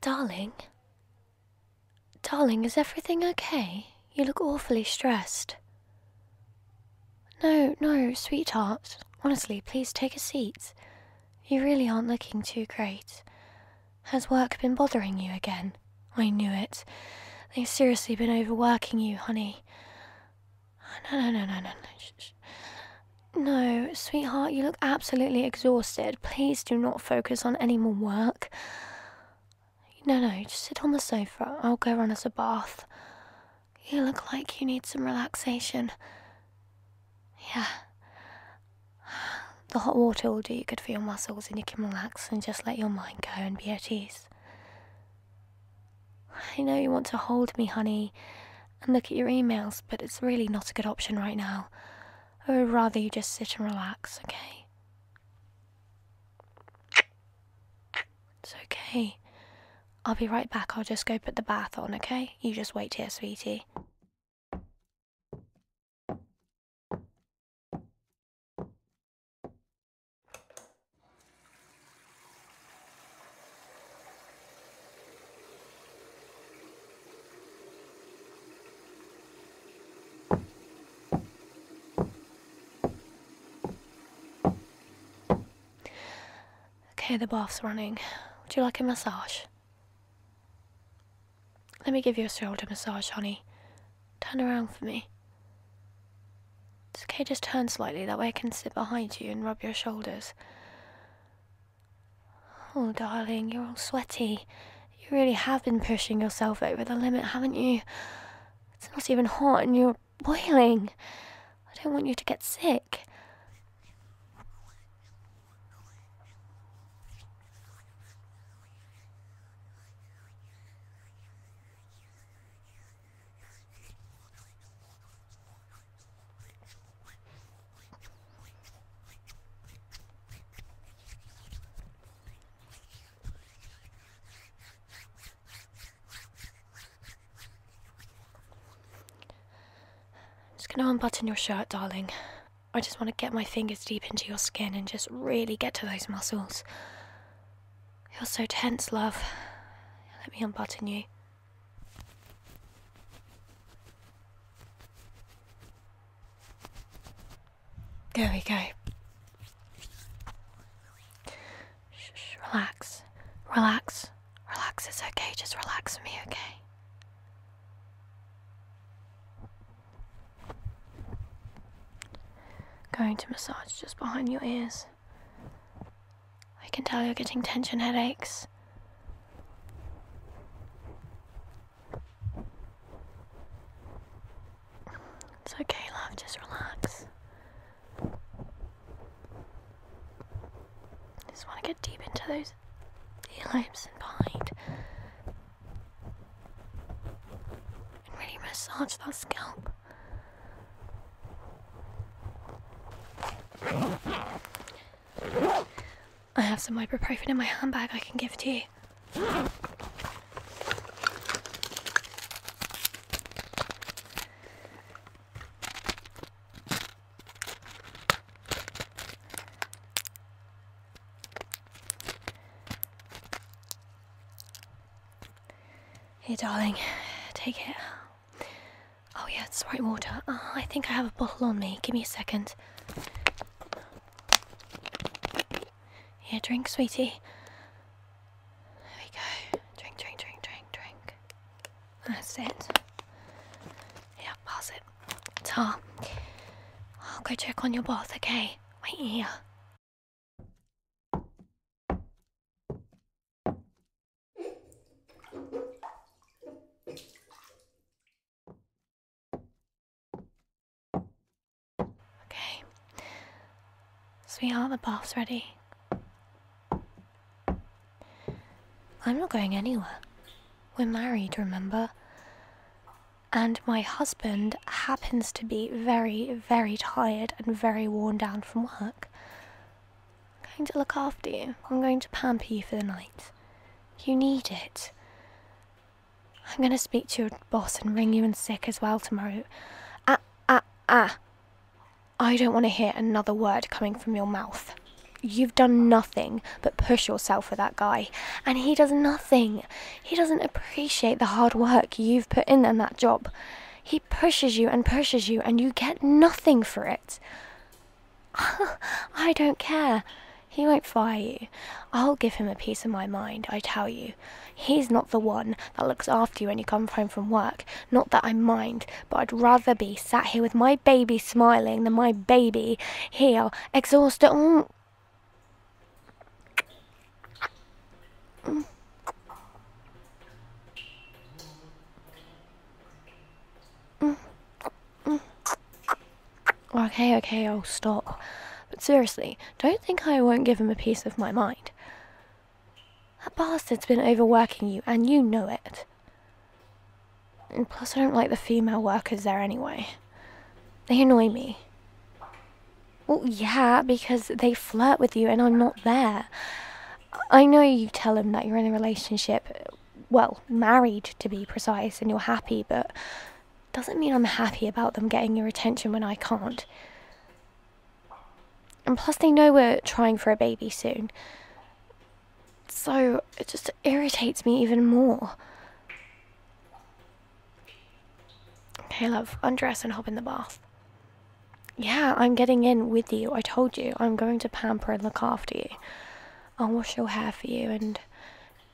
Darling? Darling, is everything okay? You look awfully stressed. No, no, sweetheart. Honestly, please take a seat. You really aren't looking too great. Has work been bothering you again? I knew it. They've seriously been overworking you, honey. No, no, no, no, no, no. No, sweetheart, you look absolutely exhausted. Please do not focus on any more work. No, no, just sit on the sofa. I'll go run us a bath. You look like you need some relaxation. Yeah. The hot water will do you good for your muscles, and you can relax and just let your mind go and be at ease. I know you want to hold me, honey, and look at your emails, but it's really not a good option right now. I would rather you just sit and relax, okay? It's okay. I'll be right back. I'll just go put the bath on, okay? You just wait here, sweetie. Okay, the bath's running. Would you like a massage? Let me give you a shoulder massage, honey. Turn around for me. It's okay, just turn slightly. That way I can sit behind you and rub your shoulders. Oh, darling, you're all sweaty. You really have been pushing yourself over the limit, haven't you? It's not even hot and you're boiling. I don't want you to get sick. I'm just going to unbutton your shirt, darling. I just want to get my fingers deep into your skin and just really get to those muscles. You're so tense, love. Let me unbutton you. There we go. Shh, relax. Relax. Relax, it's okay. Just relax for me, okay? Going to massage just behind your ears. I can tell you're getting tension headaches. It's okay, love, just relax. Just want to get deep into those ear lobes and behind and really massage that scalp. I have some ibuprofen in my handbag I can give to you. Here, darling, take it. Oh, yeah, it's right water. Ah, I think I have a bottle on me. Give me a second. Here, drink, sweetie. There we go. Drink, drink, drink, drink, drink. That's it. Yeah, pass it. Ta. I'll go check on your bath, okay? Wait here. Okay. Sweetheart, the bath's ready. I'm not going anywhere. We're married, remember? and my husband happens to be very, very tired and very worn down from work. I'm going to look after you. I'm going to pamper you for the night. You need it. I'm going to speak to your boss and ring you in sick as well tomorrow. Ah, ah, ah. I don't want to hear another word coming from your mouth. You've done nothing but push yourself for that guy, and he does nothing. He doesn't appreciate the hard work you've put in on that job. He pushes you and pushes you, and you get nothing for it. I don't care. He won't fire you. I'll give him a piece of my mind, I tell you. He's not the one that looks after you when you come home from work. Not that I mind, but I'd rather be sat here with my baby smiling than my baby here exhausted. Mm. Okay, okay, I'll stop. But seriously, don't think I won't give him a piece of my mind. That bastard's been overworking you, and you know it. And plus, I don't like the female workers there anyway. They annoy me. Well, yeah, because they flirt with you and I'm not there. I know you tell them that you're in a relationship, well, married to be precise, and you're happy, but doesn't mean I'm happy about them getting your attention when I can't. And plus, they know we're trying for a baby soon. So it just irritates me even more. Okay, love, undress and hop in the bath. Yeah, I'm getting in with you. I told you. I'm going to pamper and look after you. I'll wash your hair for you and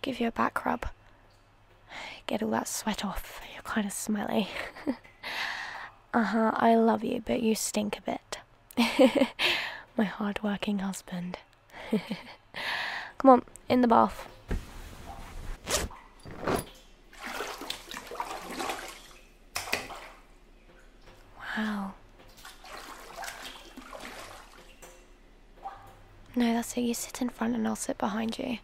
give you a back rub. Get all that sweat off. You're kind of smelly. uh huh, I love you, but you stink a bit. My hard working husband. Come on, in the bath. Wow. No, that's it. You sit in front and I'll sit behind you.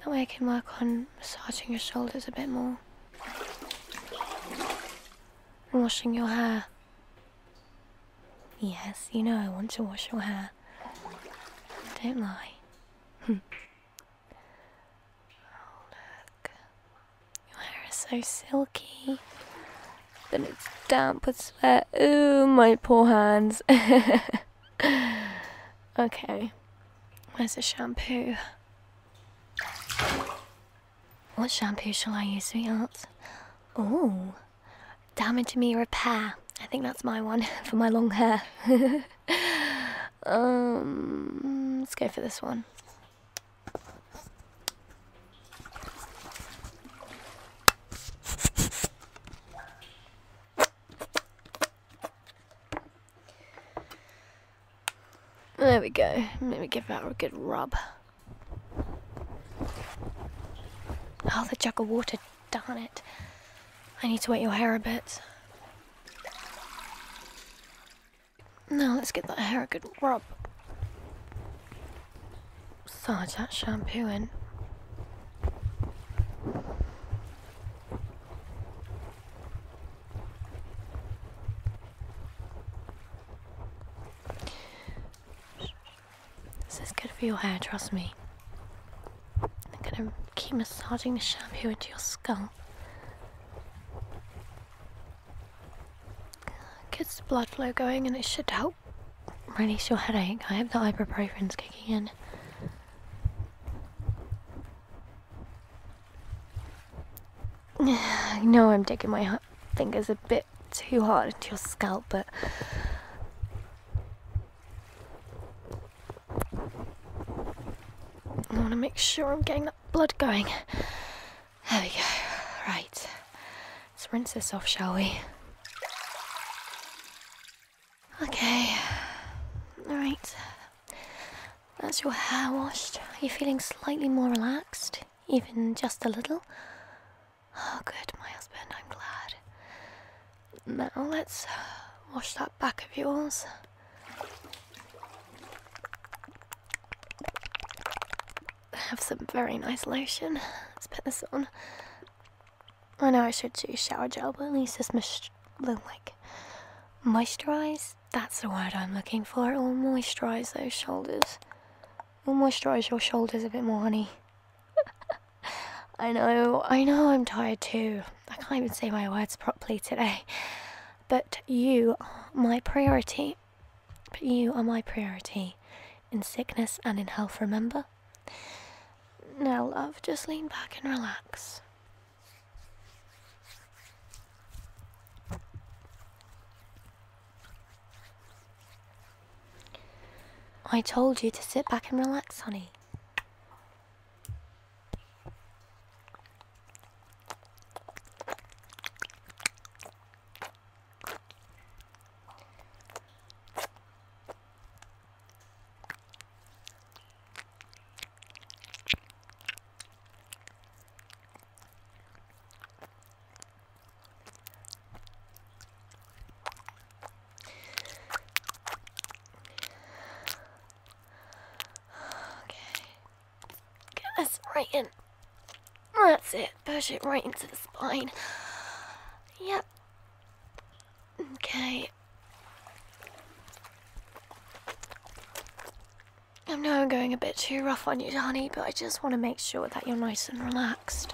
That way I can work on massaging your shoulders a bit more. And washing your hair. Yes, you know I want to wash your hair. Don't lie. look. Your hair is so silky. but it's damp with sweat. Ooh, my poor hands. okay. Where's the shampoo? What shampoo shall I use, sweetheart? Oh, Damage me repair. I think that's my one for my long hair. um, let's go for this one. There we go. Let me give that a good rub. Oh, the jug of water Darn it. I need to wet your hair a bit. Now let's get that hair a good rub. Massage that shampoo in. This is good for your hair, trust me. I'm gonna keep massaging the shampoo into your scalp. Gets the blood flow going and it should help release your headache. I hope the ibuprofen's kicking in. I know I'm digging my fingers a bit too hard into your scalp, but I want to make sure I'm getting that blood going. There we go. Right. Let's rinse this off, shall we? Okay. Alright. That's your hair washed. Are you feeling slightly more relaxed? Even just a little? Oh, good, my husband, I'm glad. Now let's uh, wash that back of yours. I have some very nice lotion. Let's put this on. I know I should do shower gel, but at least this must like moisturize. That's the word I'm looking for. It will moisturize those shoulders. It will moisturize your shoulders a bit more, honey. I know, I know I'm tired too. I can't even say my words properly today. But you are my priority. But you are my priority in sickness and in health, remember? Now, love, just lean back and relax. I told you to sit back and relax, honey. Okay. Get this right in. That's it. Push it right into the spine. Yep. Okay. I know I'm going a bit too rough on you, honey, but I just want to make sure that you're nice and relaxed.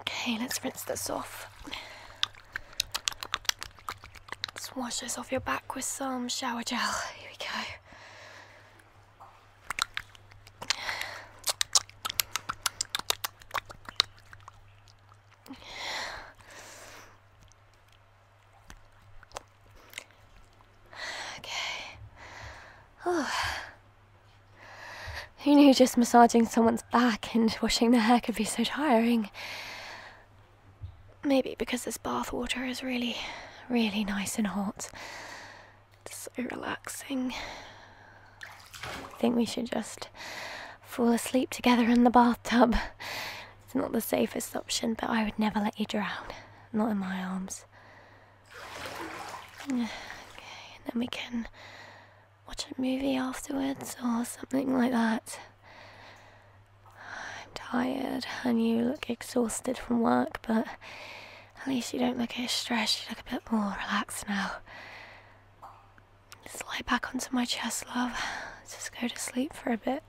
Okay, let's rinse this off. Let's wash this off your back with some shower gel. Here we go. Okay. Oh. Who knew just massaging someone's back and washing their hair could be so tiring? Maybe because this bathwater is really, really nice and hot. It's so relaxing. I think we should just fall asleep together in the bathtub. It's not the safest option, but I would never let you drown. Not in my arms. Okay, and then we can watch a movie afterwards or something like that. I'm tired, and you look exhausted from work, but at least you don't look as stressed. You look a bit more relaxed now. Just lie back onto my chest, love. Just go to sleep for a bit.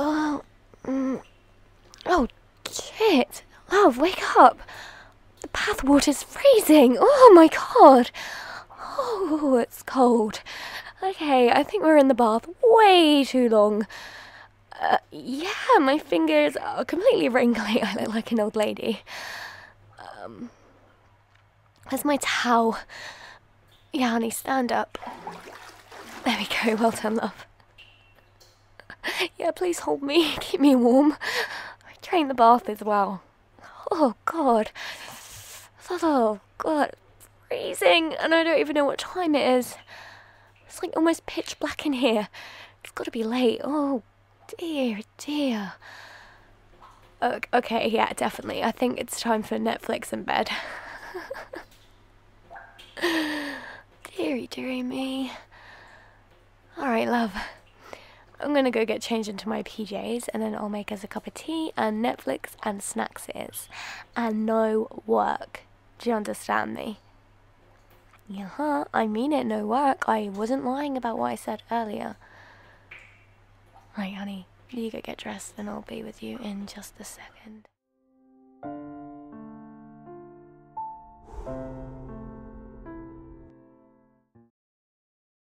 Oh, mm. oh, shit! Love, wake up! The water's freezing! Oh my god! Oh, it's cold. Okay, I think we're in the bath way too long. Uh, yeah, my fingers are completely wrinkly. I look like an old lady. Um, where's my towel? Yeah, honey, stand up. There we go. Well done, love. yeah, please hold me. Keep me warm. I train the bath as well. Oh god. Oh god. freezing and I don't even know what time it is. It's like almost pitch black in here. It's got to be late. Oh dear, dear. Okay, yeah, definitely. I think it's time for Netflix and bed. deary, deary me. Alright, love. I'm gonna go get changed into my PJs and then I'll make us a cup of tea and Netflix and snacks And no work. Do you understand me? Yeah, huh? I mean it, no work. I wasn't lying about what I said earlier. Right, honey, you go get dressed and I'll be with you in just a second.